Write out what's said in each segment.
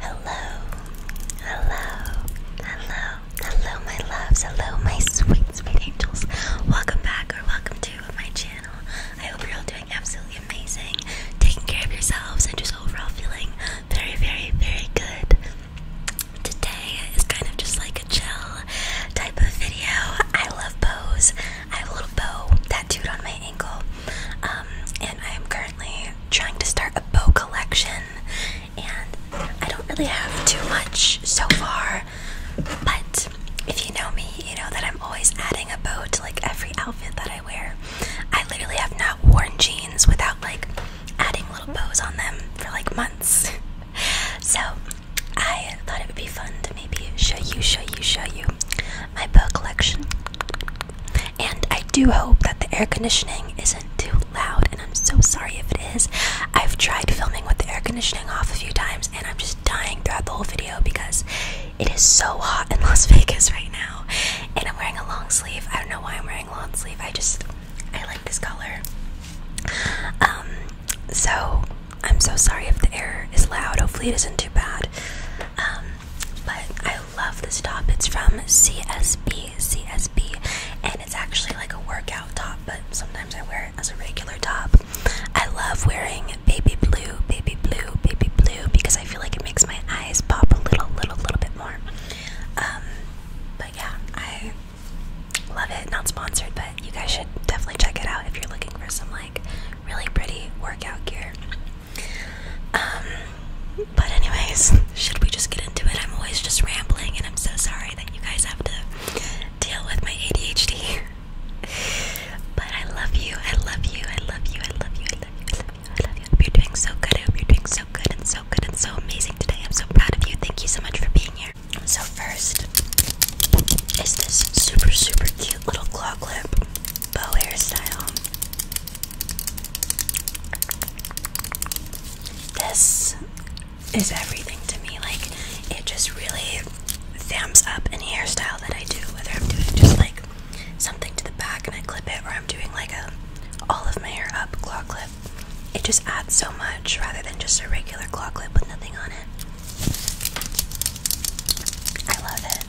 Hello, hello, hello, hello, my loves, hello, my sweet, sweet angels. Welcome back or welcome to my channel. I hope you're all doing absolutely amazing, taking care of yourselves, and just overall feeling very, very, very good. Today is kind of just like a chill type of video. I love bows. I have a little bow tattooed on my ankle. Um, and I am currently trying to start a bow collection, and I don't really have too much so far. But if you know me, you know that I'm always adding a bow to like every outfit that I wear. I literally have not worn jeans without like adding little bows on them for like months. so I thought it would be fun to maybe show you, show you, show you my bow collection. And I do hope that the air conditioning isn't too loud, and I'm so sorry if it is. I've tried filming with the air conditioning off a few times, and I'm just dying throughout the whole video because it is so hot in Las Vegas right now. And I'm wearing a long sleeve. I don't know why I'm wearing a long sleeve. I just, I like this color. Um, so I'm so sorry if the air is loud. Hopefully, it isn't too bad. Um, but I love this top. It's from CSB, CSB, and it's actually like a workout top, but sometimes I wear it as a regular top. I love wearing baby blue, baby blue, baby blue because I feel like it makes my eyes pop a little, little, little bit more. Um, but yeah, I love it. Not sponsored, but you guys should definitely check it out if you're looking for some like really pretty workout gear. Um, but anyways, should we just get into it? I'm always just rambling, and I'm so sorry that you guys have to deal with my ADHD. but I love you. I love you. I love you. I love you. I love you. I love you. I love you. I hope you're doing so good. I hope you're doing so good and so good and so amazing today. I'm so proud of you. Thank you so much for being here. So first is this super super cute little claw clip bow hairstyle. This is everything to me. Like, it just really thumbs up any hairstyle that I do, whether I'm doing just like something to the back and I clip it, or I'm doing like a all of my hair up claw clip. It just adds so much rather than just a regular claw clip with nothing on it. I love it.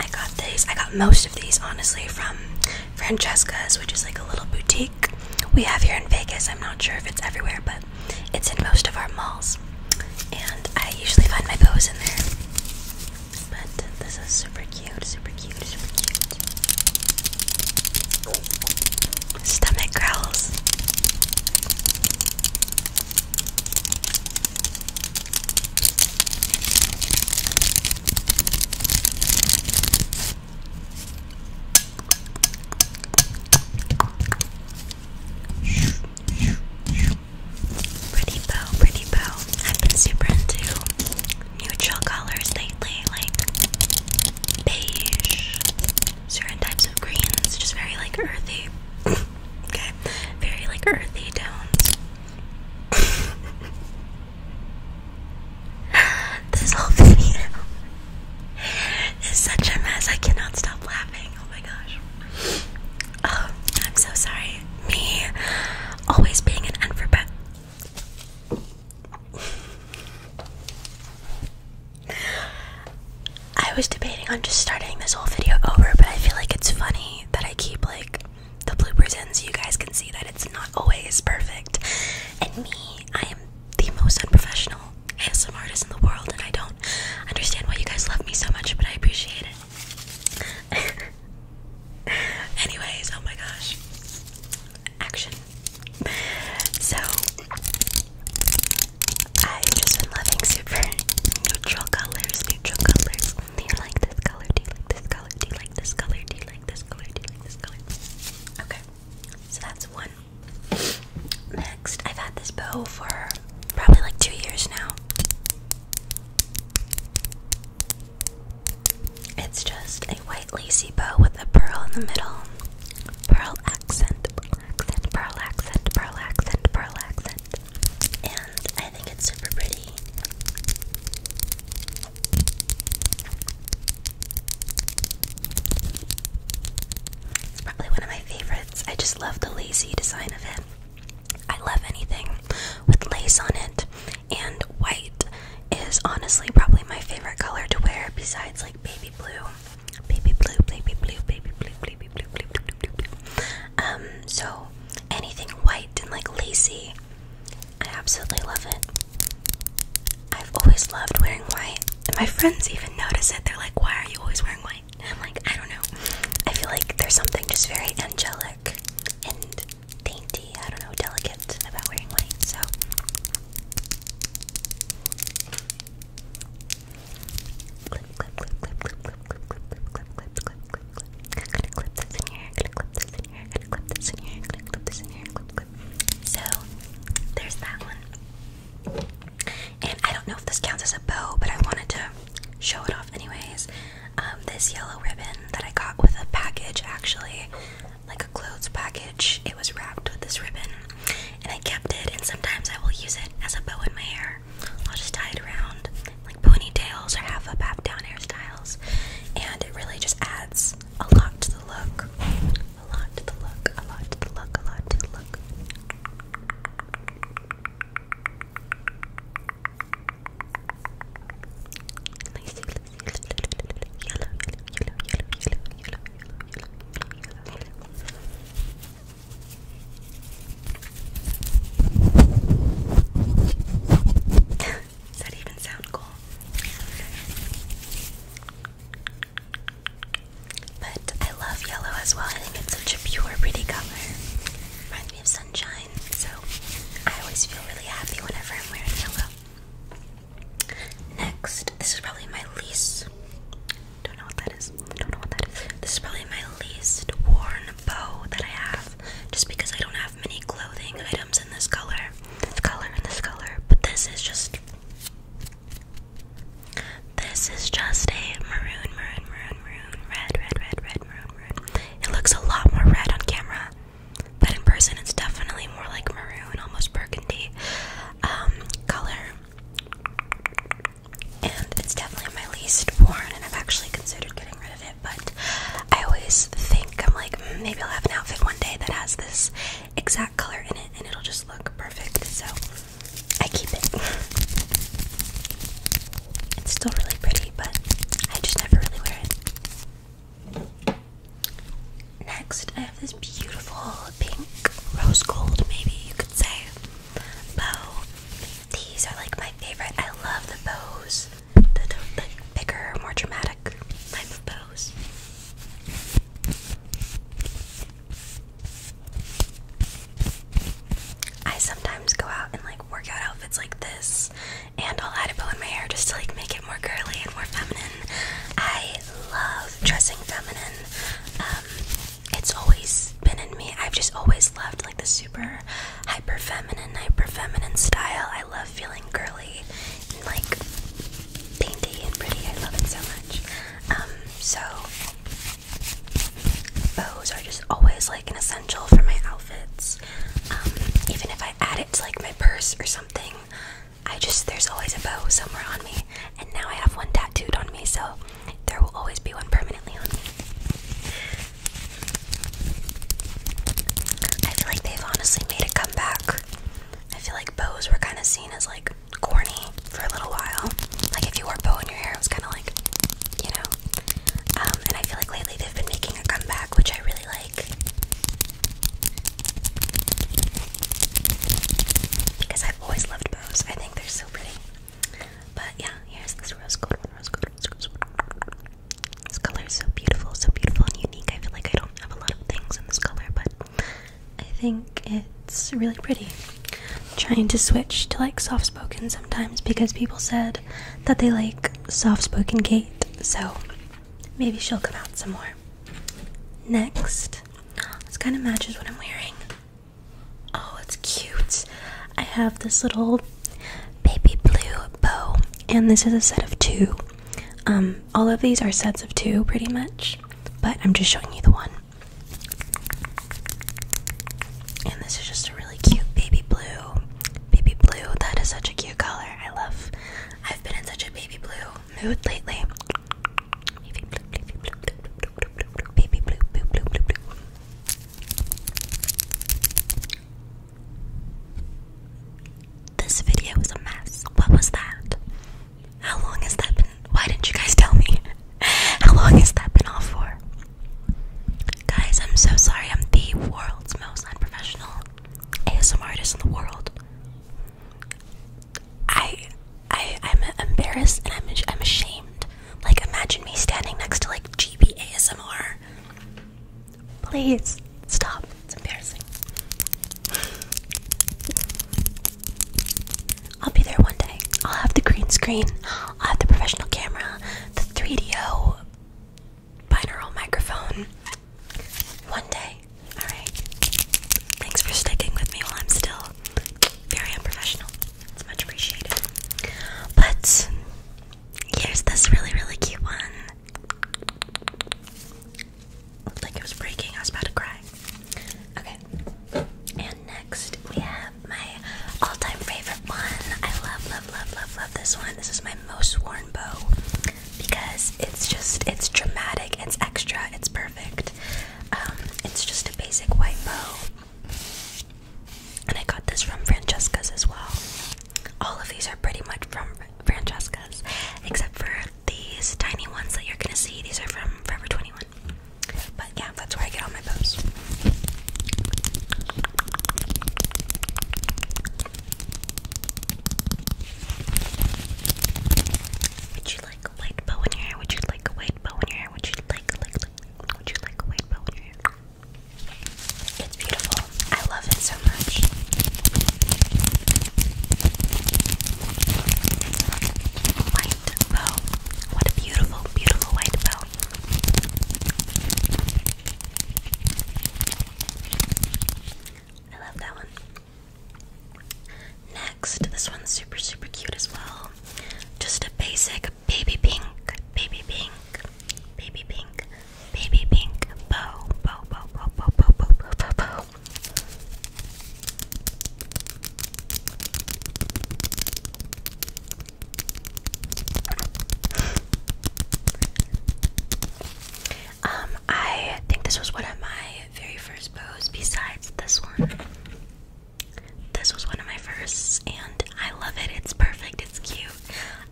I got these. I got most of these honestly from Francesca's, which is like a little boutique we have here in Vegas. I'm not sure if it's everywhere, but it's in most of our malls. And I usually find my bows in there. But this is super cute, super cute, Stomach growls. Pretty bow, pretty bow. I've been super into neutral colors lately, like beige, certain types of greens, just very like earthy. okay, very like earthy tones. this whole video is such a mess. I cannot stop laughing. Oh my gosh. Oh, I'm so sorry. Me always being an unprepared. I was debating on just starting this whole video over, but I feel like it's funny that I keep like the bloopers in so you guys can see that it's not always perfect. And me, I am the most unprofessional ASM artist in the world, and I don't understand why you guys love me so much, but I appreciate it. Anyways, oh my gosh. Action. So I've just been loving super neutral colors, neutral colors. Do you like this color? Do you like this color? Do you like this color? Do you like this color? Okay, so that's one. Next, I've had this bow for probably like two years now. It's just a white lacy bow with a pearl in the middle, pearl accent, pearl accent, pearl accent, pearl accent. And I think it's super pretty. probably one of my favorites. I just love the lacy design of it. I love anything with lace on it, and white is honestly probably my favorite color to wear besides like baby blue baby blue, baby blue, baby blue, baby blue, blue, blue, blue, blue. Um, so anything white and like lacy, I absolutely love it. I've always loved wearing white, and my friends even notice it. They're like, "Why are you always wearing white?" I'm like, "I don't know. I feel like there's something just very angelic and dainty. I don't know, delicate about wearing white." So. So there's that one. And I don't know if this counts as a bow, but I wanted to show it off anyways. Um, this yellow ribbon that I got with a package actually, like a clothes package package. It was wrapped with this ribbon, and I kept it. And sometimes I will use it as a bow in my hair. I'll just tie it around like ponytails or half up, half down hairstyles, and it really just adds a lot to the look. A lot to the look. A lot to the look. A lot to the look. yellow, yellow, yellow, yellow, yellow, yellow, yellow, yellow, yellow, does that even sound cool? But I love yellow as well. I think it's such a pure, pretty color. Reminds me of sunshine, so I always feel really happy whenever I'm wearing yellow. Next, this is probably my least. Don't know what that is. Don't know what that is. This is probably my least worn bow that I have, just because I don't have many clothing items in this color, this color, and this color. But this is just. This is just a maroon, maroon, maroon, maroon, red, red, red, red, maroon, maroon. It looks a lot more red on camera, but in person it's definitely more like maroon, almost burgundy. Um, color. And it's definitely my least worn, and I've actually considered getting rid of it, but I always think, I'm like, hmm, maybe I'll have an outfit one day that has this exact color in it, and it'll just look perfect, so I keep it. It's still really pretty, but I just never really wear it. Next, I have this beautiful pink, rose gold, maybe you could say, bow. These are like my favorite. I love the bows, the, the, bigger, more dramatic bows. I sometimes go out in like workout outfits like this, and I'll add a bow in my hair just to like make it more girly and more feminine. I love dressing feminine. Um, it's always been in me. I've just always loved like the super hyper feminine, hyper feminine style. I love feeling girly and like dainty and pretty. I love it so much. Um, so bows are just always like an essential for my outfits. Um, even if I add it to like my purse or something, I just there's always a bow somewhere on me, and now I have one tattooed on me, so there will always be one permanently on me. I feel like they've honestly made a comeback. I feel like bows were kind of seen as like corny for a little while. Like if you wore a bow in your hair, it was kind of like, you know. Um, and I feel like lately they've been making a comeback, which I really like. Because I've always loved bows. I think they're so pretty. But yeah, here's this rose gold This color is so beautiful, so beautiful and unique. I feel like I don't have a lot of things in this color, but I think it's really pretty. trying to switch to like soft spoken sometimes because people said that they like soft spoken Kate, so maybe she'll come out some more. Next, this kind of matches what I'm wearing. Oh, it's cute. I have this little baby blue bow, and this is a set of two. Um, all of these are sets of two, pretty much, but I'm just showing you the one. And this is just a really cute baby blue. Baby blue, that is such a cute color. I love. I've been in such a baby blue mood lately. This video was a mess. What was that? How long has that been? Why didn't you guys tell me? How long has that been off for? Guys, I'm so sorry. I'm the world's most unprofessional ASMR artist in the world. I, I, I'm embarrassed and I'm, I'm ashamed. Like, imagine me standing next to like GB ASMR. Please stop. It's embarrassing. I'll be there one day. I'll have the green screen. I'll have the professional camera, the 3DO binaural microphone one day. Alright. Thanks for sticking with me while I'm still very unprofessional. It's much appreciated. But here's this really, really cute one. like it was breaking. I was about to cry. Okay. And next we have my all-time favorite one. I love, love, love, love, love this one. This is my most worn bow because it's just it's dramatic, it's extra, it's perfect. Um, it's just a basic white bow. And I got this from Francesca's as well. All of these are pretty much from Francesca's, except for these tiny ones that you're gonna see. These are from Forever 21. But yeah, that's where I get all my bows. Would you like a white bow in your hair? Would you like a white bow in your hair? Would you like, a white bow in your hair? It's beautiful. I love it so much. White bow. What a beautiful, beautiful white bow. I love that one. Next, this one's super, super cute as well. Just a basic baby pink, baby pink, baby pink, baby pink bow, bow, bow, bow, bow, bow, bow, bow, bow, um, I think this was one of my very first bows besides this one. This was one of my first and I love it. It's perfect. It's cute.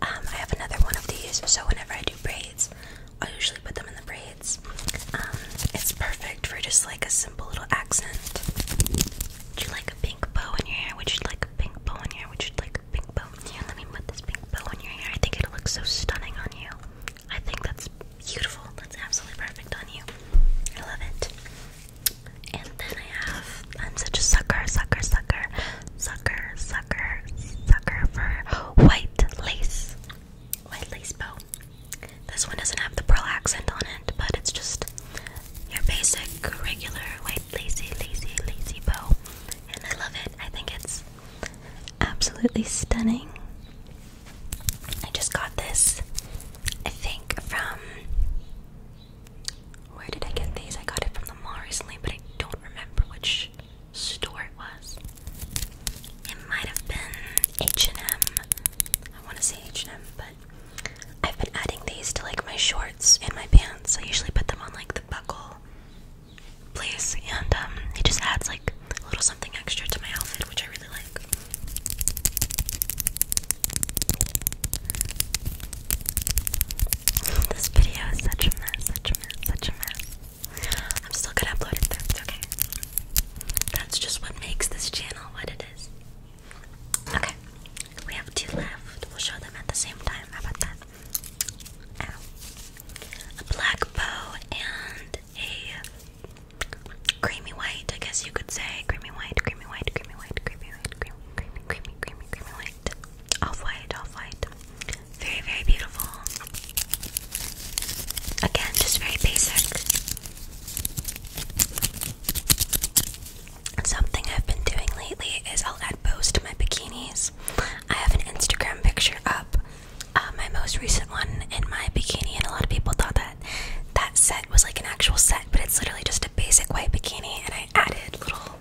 Um, I have another one of these, so whenever I do braids, I usually put them in the braids. Um, it's perfect for just like a simple little accent. Would you like a pink bow in your hair? Would you like a pink bow in your hair? Would you like pink bow. let me put this pink bow on your hair. I think it'll look so stunning on you. I think that's beautiful. That's absolutely perfect on you. I love it. And then I have, I'm such a sucker, sucker, sucker, sucker, sucker, sucker for white lace. White lace bow. This one doesn't have the pearl accent on it, but it's just your basic, regular, white, lacey, lacy, lacy bow. I love it. I think it's absolutely stunning. I just got this, I think, from. Where did I get these? I got it from the mall recently, but I don't remember which store it was. It might have been H&M. I want to say H&M, but I've been adding these to like my shorts and my pants. I usually put them on like the buckle place, and um, it just adds like a little something extra to my outfit, which I really like. This video is such a mess, such a mess, such a mess. I'm still gonna upload it though, okay. That's just what makes this channel what it is. Okay, we have two left. We'll show them at the same time. about that? a black bow and a creamy white, I guess you could say. Creamy white, creamy white, creamy white, creamy white, creamy, creamy, creamy, creamy, creamy white. Off white, off white. Very, very beautiful. Again, just very basic. Something I've been doing lately is I'll add bows to my bikinis. I have an Instagram picture up, uh, my most recent one in my bikini, and a lot of people thought that that set was like an actual set, but it's literally just a basic white bikini, and I added little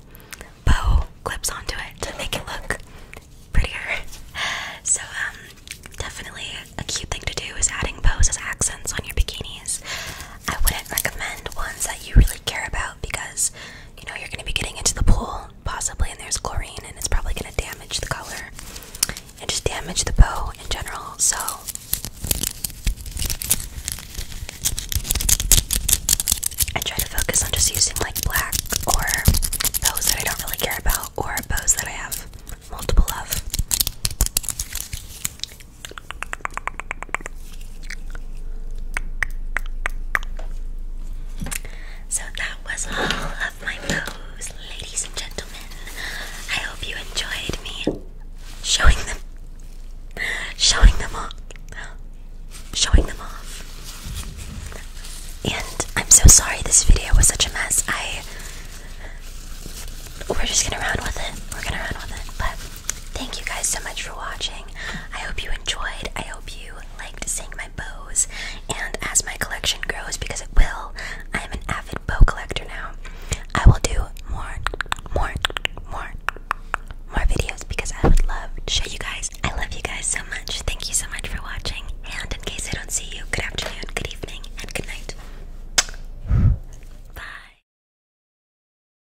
bow clips onto it to make it look prettier. So, um, definitely a cute thing to do is adding bows as accents on your bikinis. I wouldn't recommend ones that you really care about because you know, you're going to be getting into the pool possibly, and there's chlorine, and it's probably going to damage the color and just damage the bow in general. So, I try to focus on just using like black or bows that I don't really care about, or bows that I have multiple of. So that was all of my bows, ladies and gentlemen. I hope you enjoyed me showing them, showing them off, showing them off. And I'm so sorry this video was such a mess. I, we're just gonna run with it. We're gonna run with it, but Thank you guys so much for watching. I hope you enjoyed. I hope you liked seeing my bows. And as my collection grows, because it will, I am an avid bow collector now. I will do more, more, more, more videos because I would love to show you guys. I love you guys so much. Thank you so much for watching. And in case I don't see you, good afternoon, good evening, and good night. Bye.